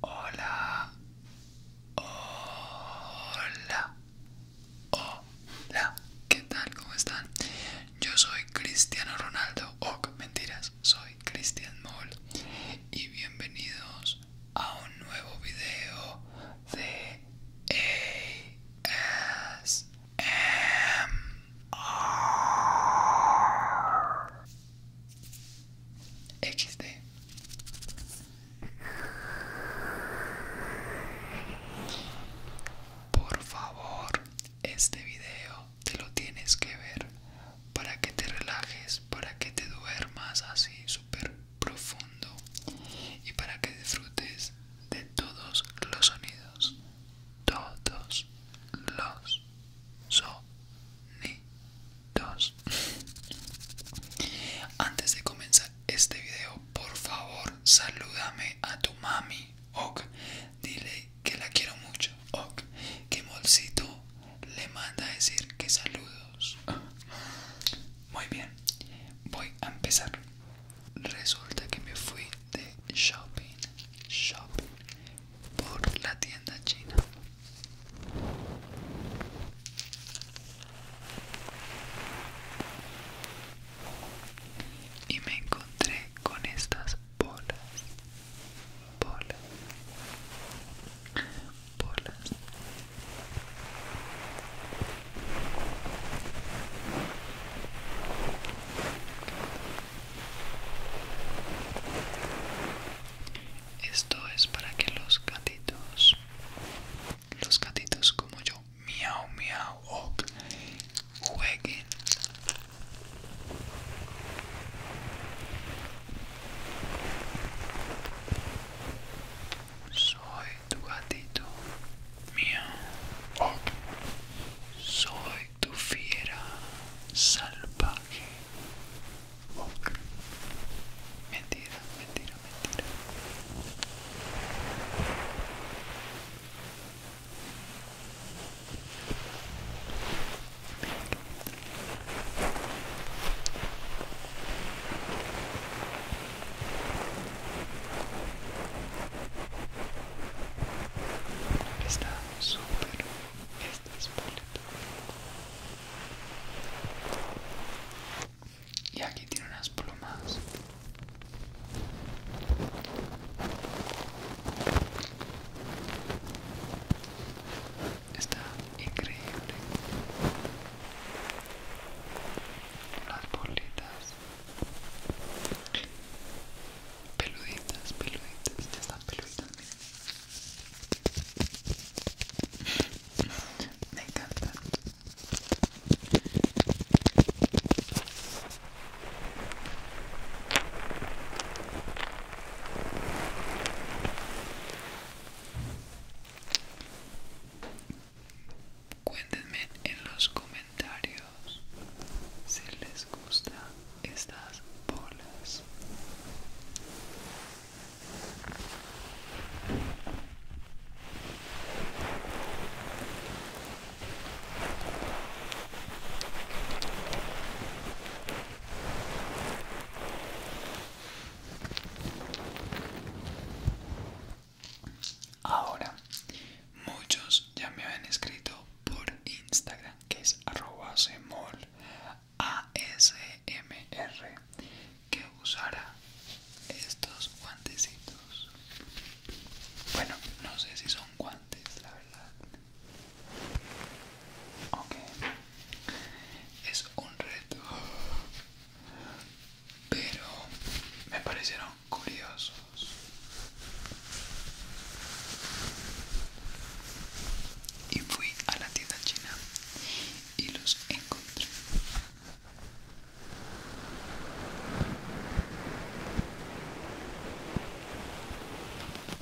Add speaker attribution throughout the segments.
Speaker 1: Hola, hola, hola, ¿qué tal? ¿Cómo están? Yo soy Cristiano Ronaldo, o oh, mentiras, soy Cristian Moll y bienvenidos a un nuevo video de AS. XD em, Por favor, este video te lo tienes que ver para que te relajes, para que te duermas así súper profundo y para que disfrutes de todos los sonidos. Todos los sonidos. Antes de comenzar este video, por favor, salúdame a tu mami. Ok, dile que la quiero mucho. Ok, que Molcito le manda a decir que saludos. Muy bien, voy a empezar. Resulta que me fui de shopping, shopping por la tienda china. Y me encontré con estas bolas, bolas, bolas esto es para que los gatitos, los gatitos como yo, miau miau, jueguen. Soy tu gatito. Soy tu fiera salvaje. Mentira, mentira, mentira. Está súper está bonita. Y aquí tiene unas plumas. Está increíble las bolitas peluditas peluditas ya están peluditas me encantan Cuéntenme en los comentarios si les gustan estas bolas. Ahora, muchos ya me habían escrito por Instagram, que es semol ASMR, que usara estos guantecitos. Bueno, no sé si son guantes, la verdad. Ok es un reto pero me parecieron curiosos y fui a la tienda china y los encontré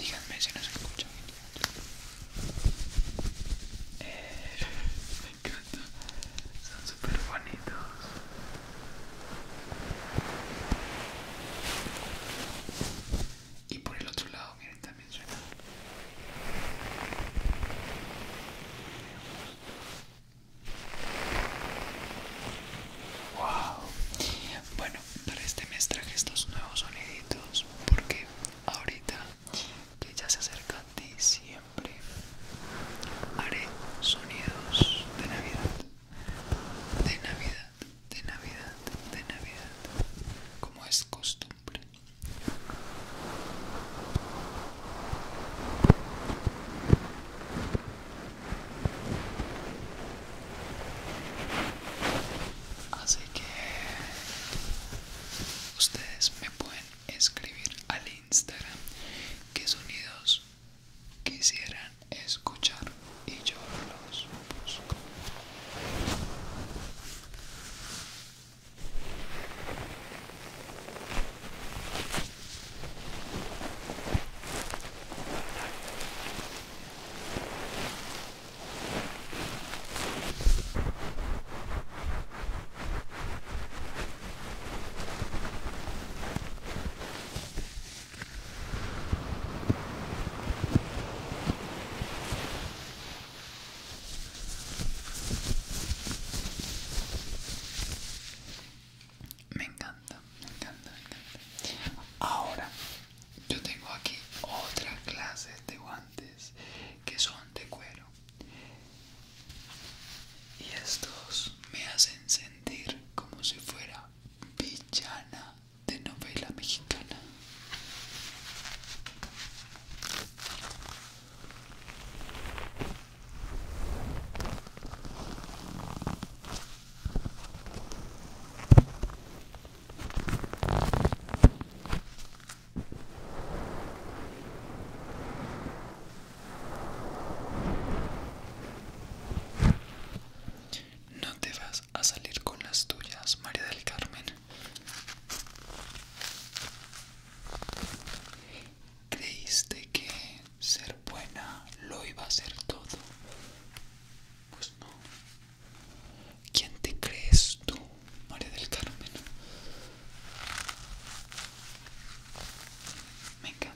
Speaker 1: Díganme si nos escuchan Eh, me encanta. Son super bonitos. Y por el otro lado, miren, también suena. Wow. Bueno, para este mes traje estos nuevos soniditos porque ahorita que ya se acerca siempre haré sonidos de Navidad. De Navidad de Navidad, de Navidad, como es costumbre. Así que ustedes me pueden escribir al Instagram Que sonidos quisieran escuchar y yo los busco. Me encanta, me encanta, me encanta. Ahora, yo tengo aquí otra clase de guantes que son de cuero. Y estos me hacen sentir como si fuera villana de novela mexicana. No te vas a salir con las tuyas, María del Carmen. Creíste que ser buena lo iba a hacer todo. Pues no. ¿Quién te crees tú, María del Carmen? Me encanta.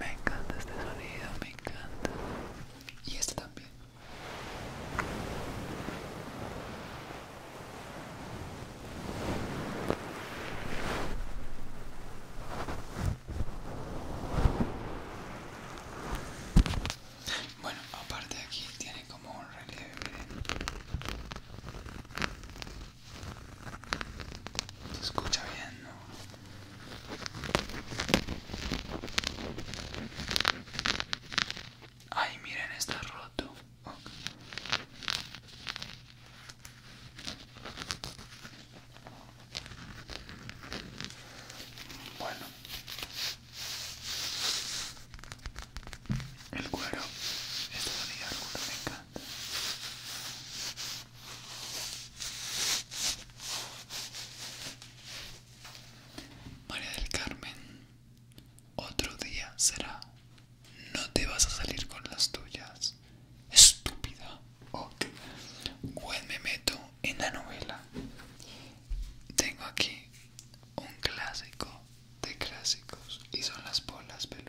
Speaker 1: Me encanta este sonido, me encanta. Y este también. Bueno, aparte aquí tiene como un relieve, se escucha bien, ¿no? Ay, miren, está roto. Bueno, el cuero, esta rodilla el cuero María del Carmen, otro día será. No te vas a salir con las tuyas. Estúpida. Ok. Pues me meto en la novela. Tengo aquí un clásico de clásicos y son las bolas peludas.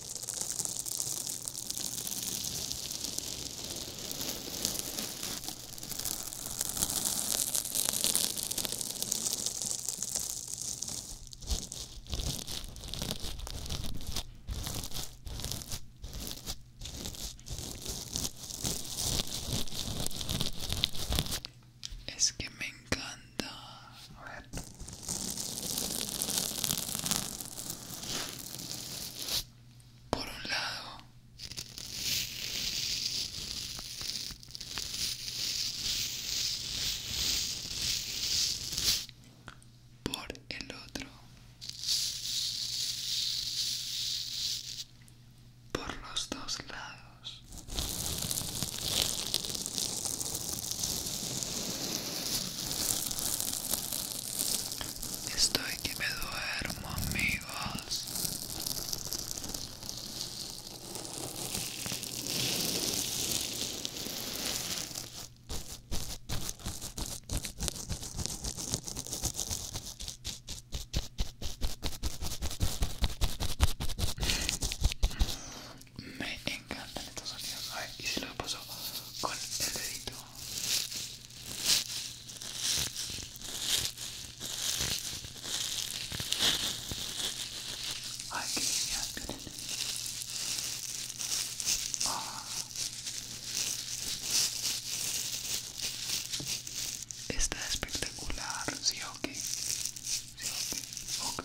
Speaker 1: Es que me encanta. Por un lado, por el otro, por los dos lados. Estoy que me duermo, amigos. Me encantan estos sonidos. y si lo paso con el dedito. Ay, genial, ah. Está espectacular, sí o qué? sí ok Ok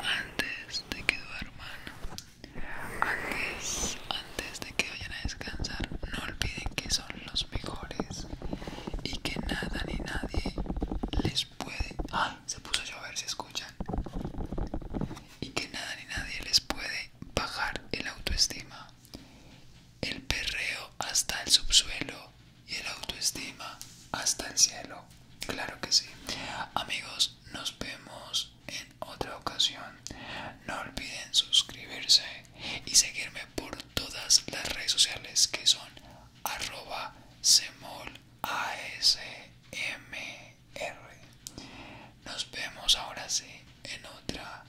Speaker 1: Antes de que hermano. Antes, de que vayan a descansar, no olviden que son los mejores y que nada ni nadie les puede. ¡Ay! ¡ah! Se puso a llover, si escuchan. Y que nada ni nadie les puede bajar el autoestima. El perreo hasta el subsuelo y el autoestima hasta el cielo. Claro que sí. Amigos, nos vemos en otra ocasión. No olviden suscribirse y seguirme por todas las redes sociales que son arroba semolasmr. Nos vemos ahora sí en otra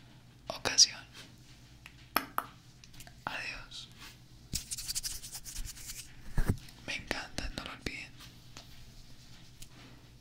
Speaker 1: ocasión. Adiós. Me encanta, no lo olviden.